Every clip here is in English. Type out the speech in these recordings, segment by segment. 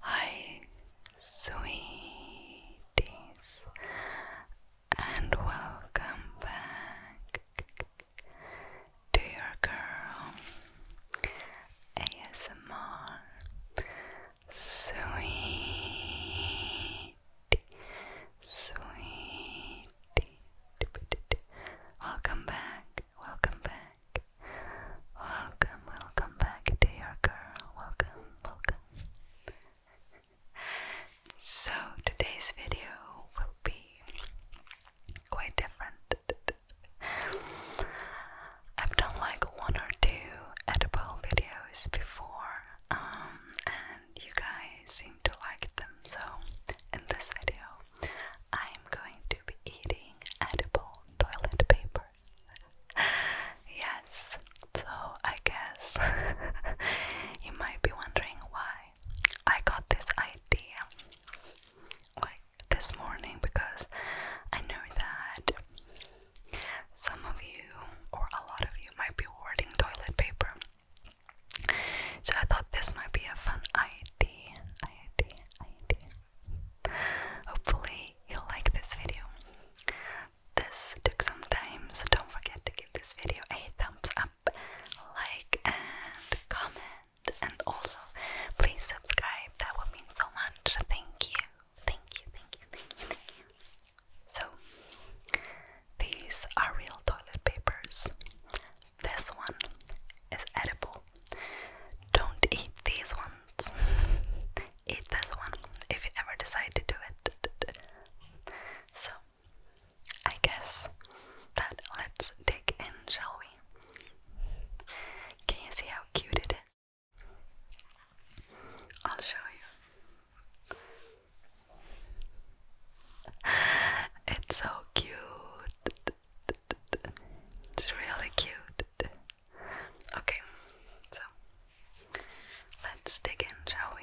Hi, sweeties, and welcome back to your girl ASMR Sweet, sweet, welcome back welcome back. Welcome, welcome back, dear girl. Welcome, welcome. so, today's video will be quite different. I've done like one or two edible videos before, um, and you guys seem to like them. So, in this video, I'm going to be eating edible toilet paper. yes, so I guess you might be wondering why I got this idea like this morning because I know that some of you or a lot of you might be hoarding toilet paper so I thought this might be a fun idea. Hopefully you'll like this video. This took some time, so don't forget to give this video a thumbs up, like, and comment. And also, please subscribe. That would mean so much. Thank you, thank you, thank you, thank you, thank you. So, these are real toilet papers. This one is edible. Don't eat these ones. eat this one if you ever decide to do it. So, I guess that let's dig in, shall we? Can you see how cute it is? I'll show you. It's so cute. It's really cute. Okay, so let's dig in, shall we?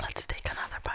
Let's take another bite.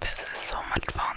this is so much fun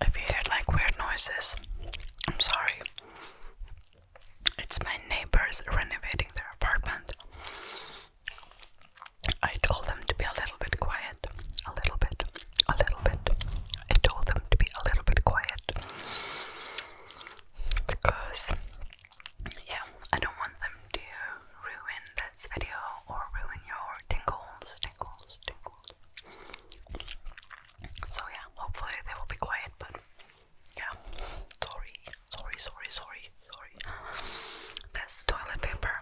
If you hear like weird noises, I'm sorry. It's my neighbors renovating their apartment. I told them to be a little bit quiet. A little bit. A little bit. I told them to be a little bit quiet because yeah, I don't want them to ruin this video or ruin your tingles, tingles, tingles. So yeah, hopefully they will be quiet, but yeah, sorry, sorry, sorry, sorry, sorry. This toilet paper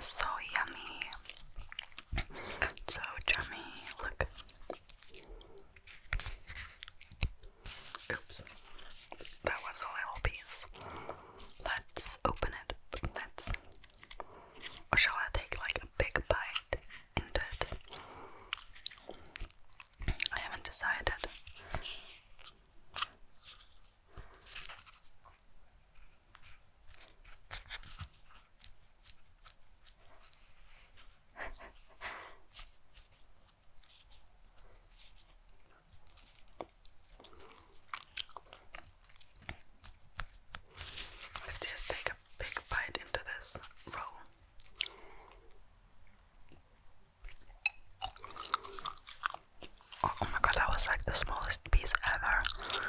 so yummy, so chummy. Look. Oops. That was a little piece. Let's open it. Let's. Or shall I take like a big bite into it? I haven't decided. Let's just take a big bite into this roll. Oh, oh my god, that was like the smallest piece ever.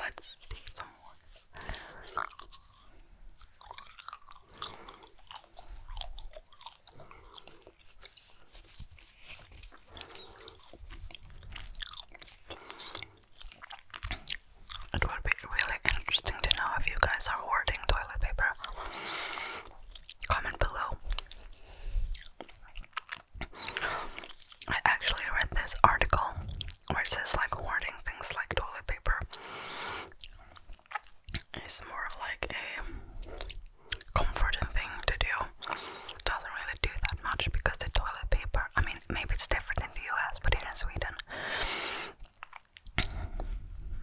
Let's take some more. It would be really interesting to know if you guys are hoarding toilet paper. Comment below. I actually read this article where says like hoarding things like toilet paper is more of like a comforting thing to do. Doesn't really do that much because the toilet paper, I mean, maybe it's different in the US, but here in Sweden,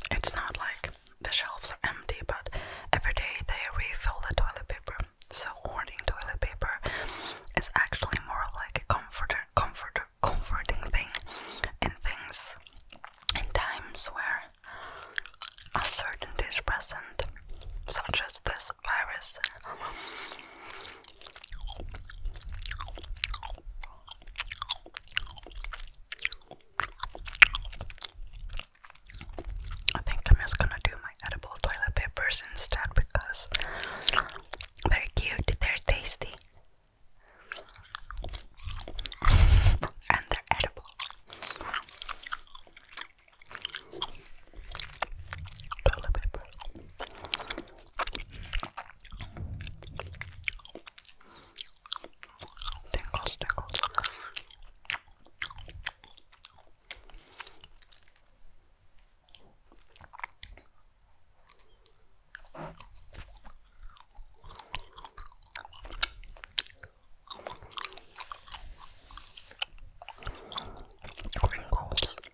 it's not like the shelves are empty, but every day they refill the toilet paper. So hoarding toilet paper is actually more like a comforter, comfort, comforting thing in things in times where uncertainty is present, such as this virus. I think I'm just gonna do my edible toilet papers instead because they're cute, they're tasty, and they're edible toilet paper. Tingles, tingles. Wrinkles.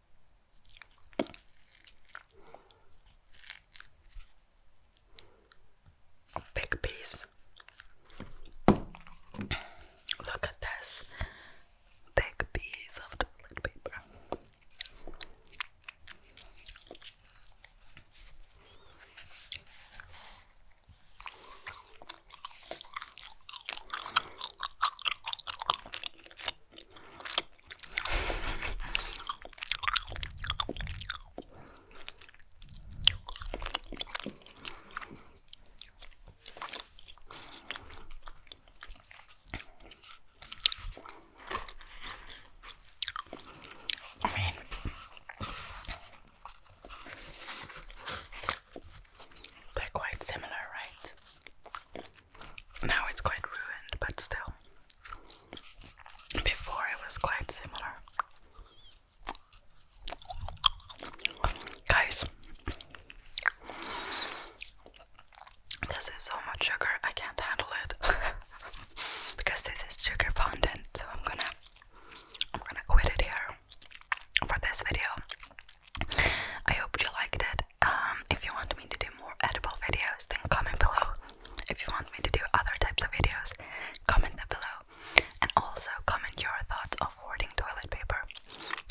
big piece. Look at this big piece of toilet paper. I mean, they're quite similar, right? Now it's quite ruined, but still. Before it was quite similar. Guys, this is so much sugar, I can't handle it. because this is sugar fondant, so I'm gonna I'm gonna quit it here for this video. I hope you liked it. Um, if you want me to do more edible videos, then comment below. If you want me to do other types of videos, comment them below. And also comment your thoughts of hoarding toilet paper.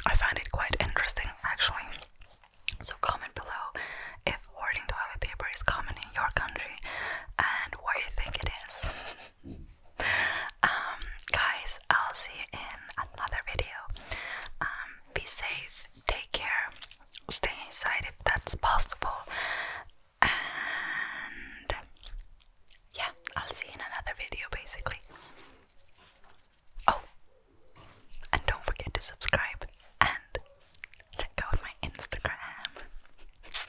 I find it quite interesting actually. So comment below if hoarding toilet paper is common in your country and what you think it is. um, guys, I'll see you in another video. Um, be safe take care, stay inside if that's possible, and yeah, I'll see you in another video basically. Oh, and don't forget to subscribe and check out my Instagram.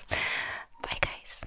Bye, guys.